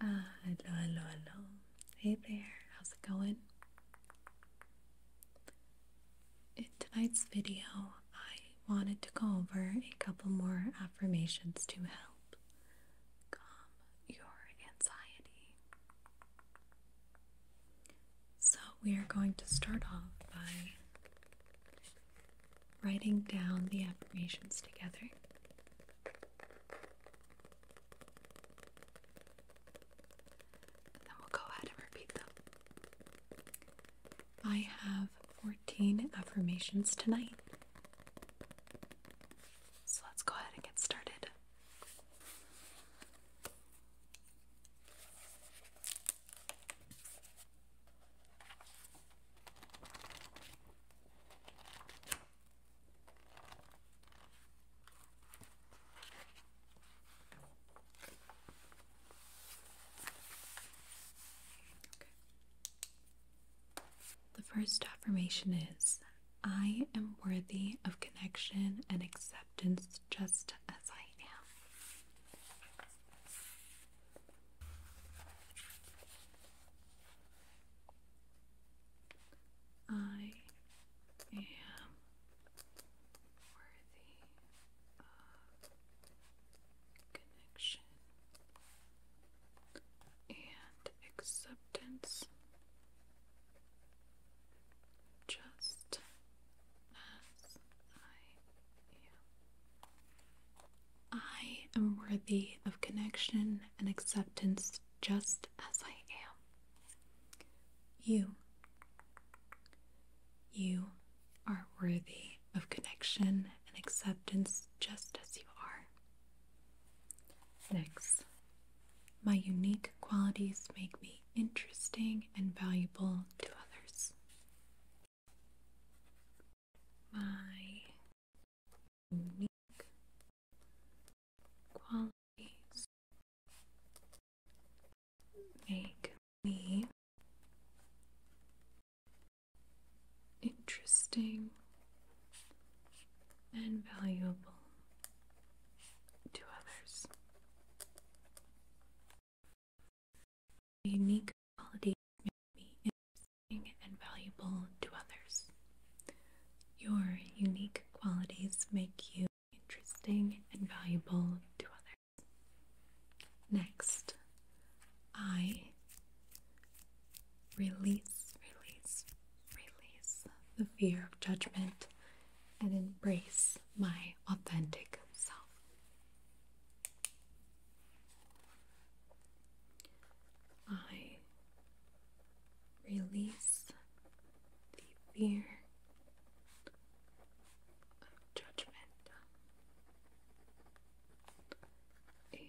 Ah, hello, hello, hello. Hey there, how's it going? In tonight's video, I wanted to go over a couple more affirmations to help calm your anxiety. So, we are going to start off by writing down the affirmations together then we'll go ahead and repeat them. I have 14 affirmations tonight. So let's go ahead and get started. The first affirmation is I am worthy of connection and acceptance just as I am. I am worthy of connection and acceptance just as I am. I am worthy of connection and acceptance just as I am. You. You are worthy of connection and acceptance just as you are. Next, my unique qualities make me interesting and valuable to others my unique qualities make me interesting and valuable to others. The unique qualities make me interesting and valuable to others. Your unique qualities make you interesting and valuable to others. Next, I release, release, release the fear of judgment and embrace my authentic self. I release the fear of judgment and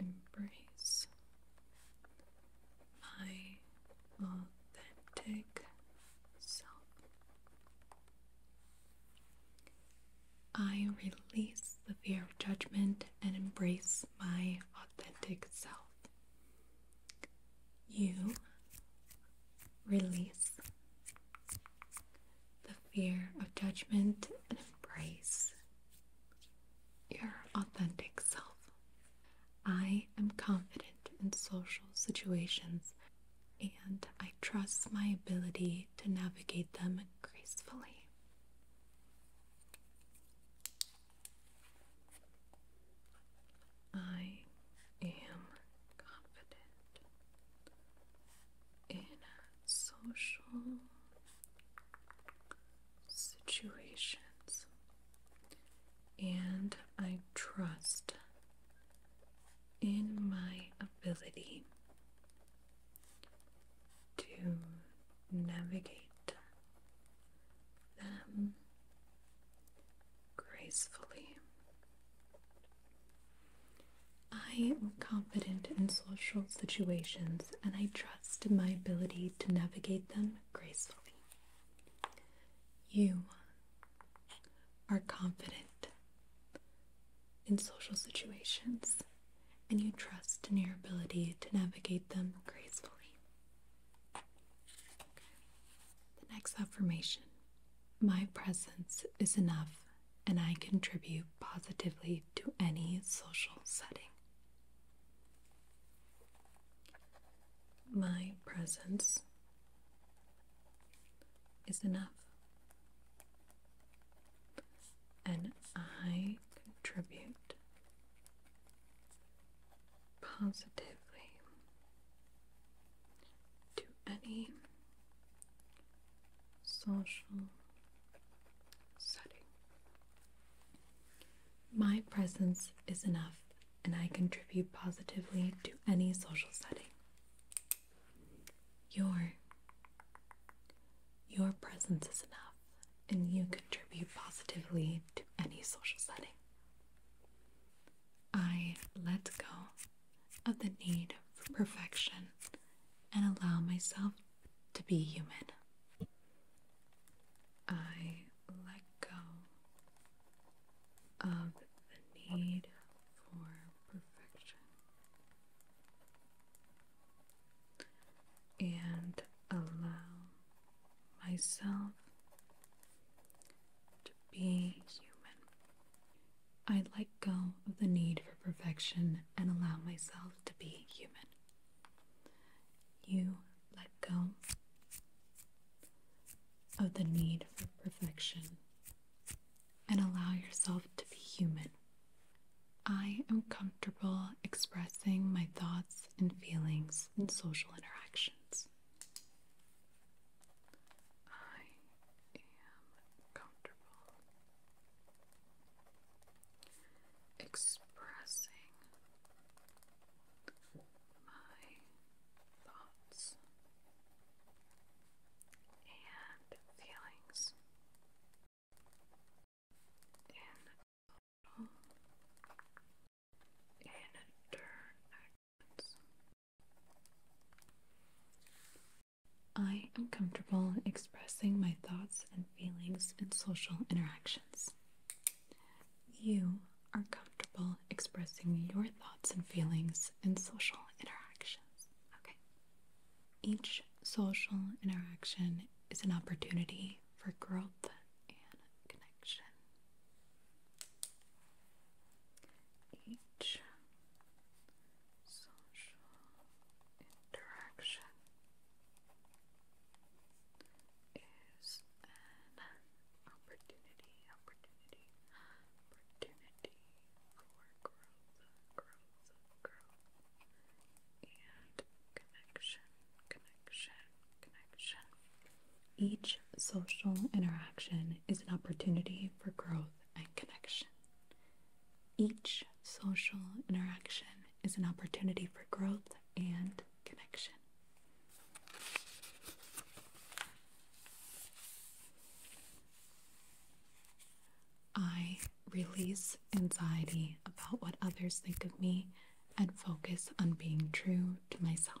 embrace my authentic self. I release the fear of judgment and embrace my authentic self. You release the fear of judgment and embrace your authentic self. I am confident in social situations and I trust my ability to navigate them gracefully. I am confident in social situations and I trust in my ability to navigate them gracefully. I am confident in social situations and I trust in my ability to navigate them gracefully. You are confident in social situations and you trust in your ability to navigate them gracefully. The next affirmation My presence is enough and I contribute positively to any social setting. My presence is enough. And I contribute positively to any social setting. My presence is enough, and I contribute positively to any social setting. Your your presence is enough and you contribute positively to any social setting. I let go of the need for perfection and allow myself to be human. I let go of the need for perfection. And allow myself to be human. I let go of the need for perfection and allow myself to be human. You let go of the need for perfection and allow yourself to be human. I am comfortable expressing my thoughts and feelings in social interactions. I am comfortable expressing my thoughts and feelings in total in I am comfortable expressing my thoughts and feelings in social interactions. You are comfortable expressing your thoughts and feelings in social interactions. Okay. Each social interaction is an opportunity for growth and connection. Each social interaction is an opportunity, opportunity, opportunity for growth, growth, growth, and connection, connection, connection. Each social interaction is an opportunity for growth and connection. Each social interaction is an opportunity for growth and connection. I release anxiety about what others think of me and focus on being true to myself.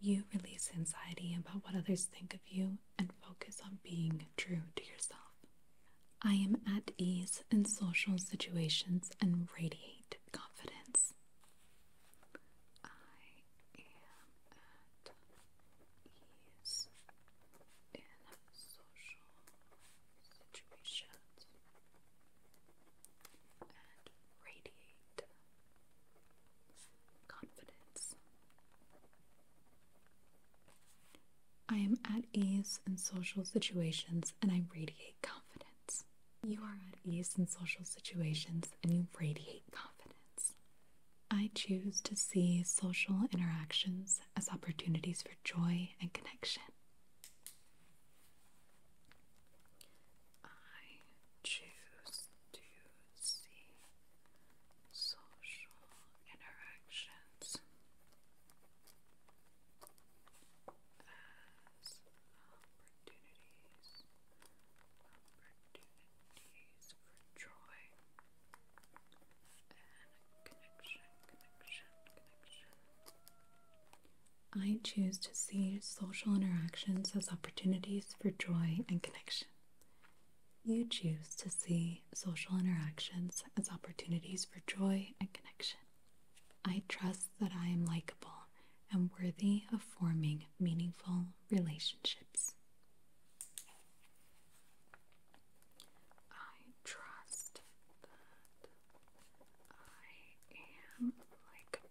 You release anxiety about what others think of you and focus on being true to yourself. I am at ease in social situations and radiate confidence. I am at ease in social situations and radiate confidence. I am at ease in social situations and I radiate confidence. You are at ease in social situations and you radiate confidence. I choose to see social interactions as opportunities for joy and connection. I choose to see social interactions as opportunities, opportunities for joy and connection, connection, connection. I choose to see social interactions as opportunities for joy and connection. You choose to see social interactions as opportunities for joy and connection. I trust that I am likable and worthy of forming meaningful relationships. I trust that I am likable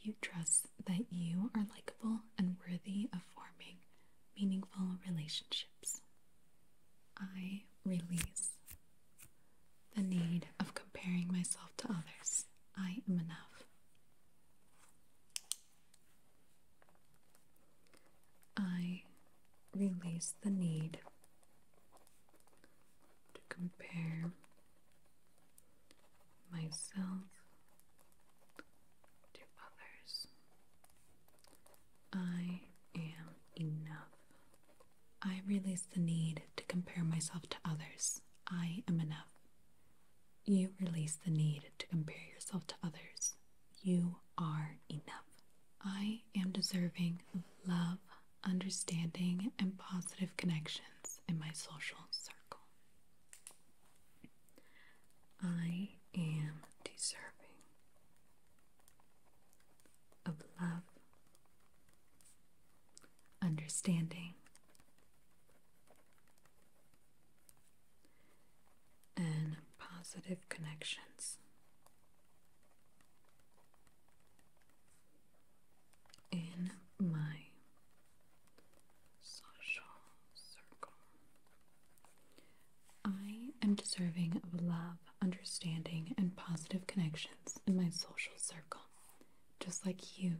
You trust that you are likable and worthy of forming meaningful relationships. I release the need of comparing myself to others. I am enough. I release the need to compare myself to others. I am enough. I release the need to compare myself to others. I am enough. You release the need to compare yourself to others. You are enough. I am deserving of love, understanding, and positive connections in my social circle. I am deserving of love, understanding, and positive connections in my social circle. I am deserving of love, understanding, and positive connections in my social circle, just like you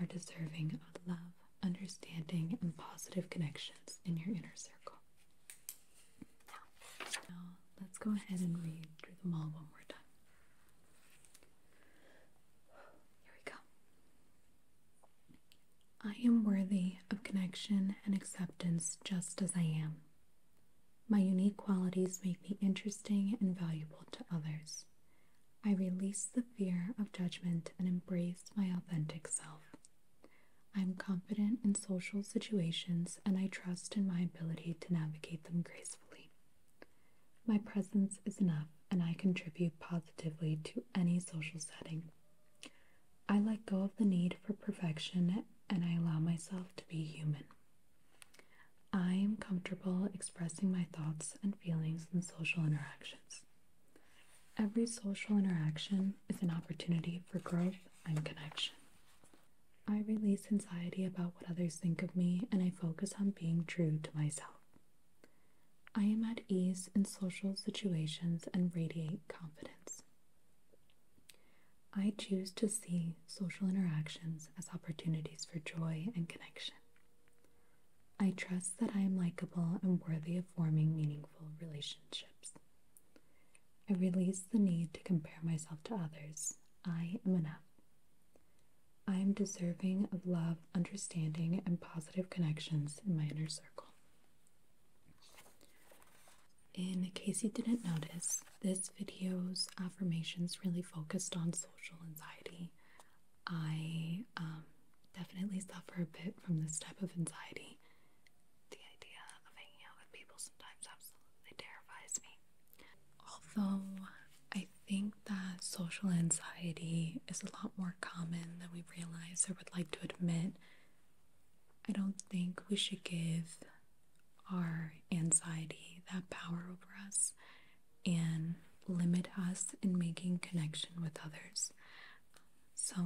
are deserving of love, understanding, and positive connections in your inner circle. Now, let's go ahead and read through them all one more time. Here we go. I am worthy of connection and acceptance just as I am. My unique qualities make me interesting and valuable to others. I release the fear of judgment and embrace my authentic self. I'm confident in social situations and I trust in my ability to navigate them gracefully. My presence is enough and I contribute positively to any social setting. I let go of the need for perfection and I allow myself to be human. I am comfortable expressing my thoughts and feelings in social interactions. Every social interaction is an opportunity for growth and connection. I release anxiety about what others think of me and I focus on being true to myself. I am at ease in social situations and radiate confidence. I choose to see social interactions as opportunities for joy and connection. I trust that I am likable and worthy of forming meaningful relationships. I release the need to compare myself to others. I am enough. I am deserving of love, understanding, and positive connections in my inner circle. In case you didn't notice, this video's affirmations really focused on social anxiety. I um, definitely suffer a bit from this type of anxiety. The idea of hanging out with people sometimes absolutely terrifies me. Although I think that social anxiety is a lot more common than we realize or would like to admit, I don't think we should give our anxiety that power over us and limit us in making connection with others. So,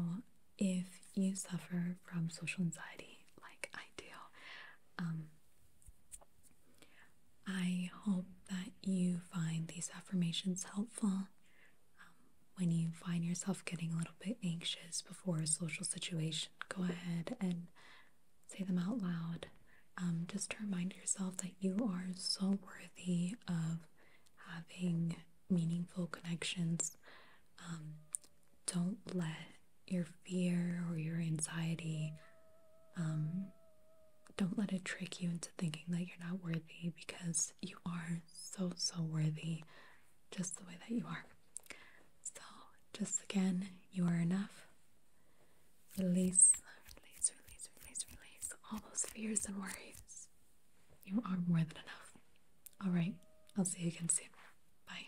if you suffer from social anxiety like I do, um, I hope that you find these affirmations helpful um, when you find yourself getting a little bit anxious before a social situation. Go ahead and say them out loud um, just to remind yourself that you are so worthy of having meaningful connections um, don't let your fear or your anxiety um, don't let it trick you into thinking that you're not worthy because you are so so worthy just the way that you are so just again you are enough release release release release release all those fears and worries you are more than enough all right i'll see you again soon bye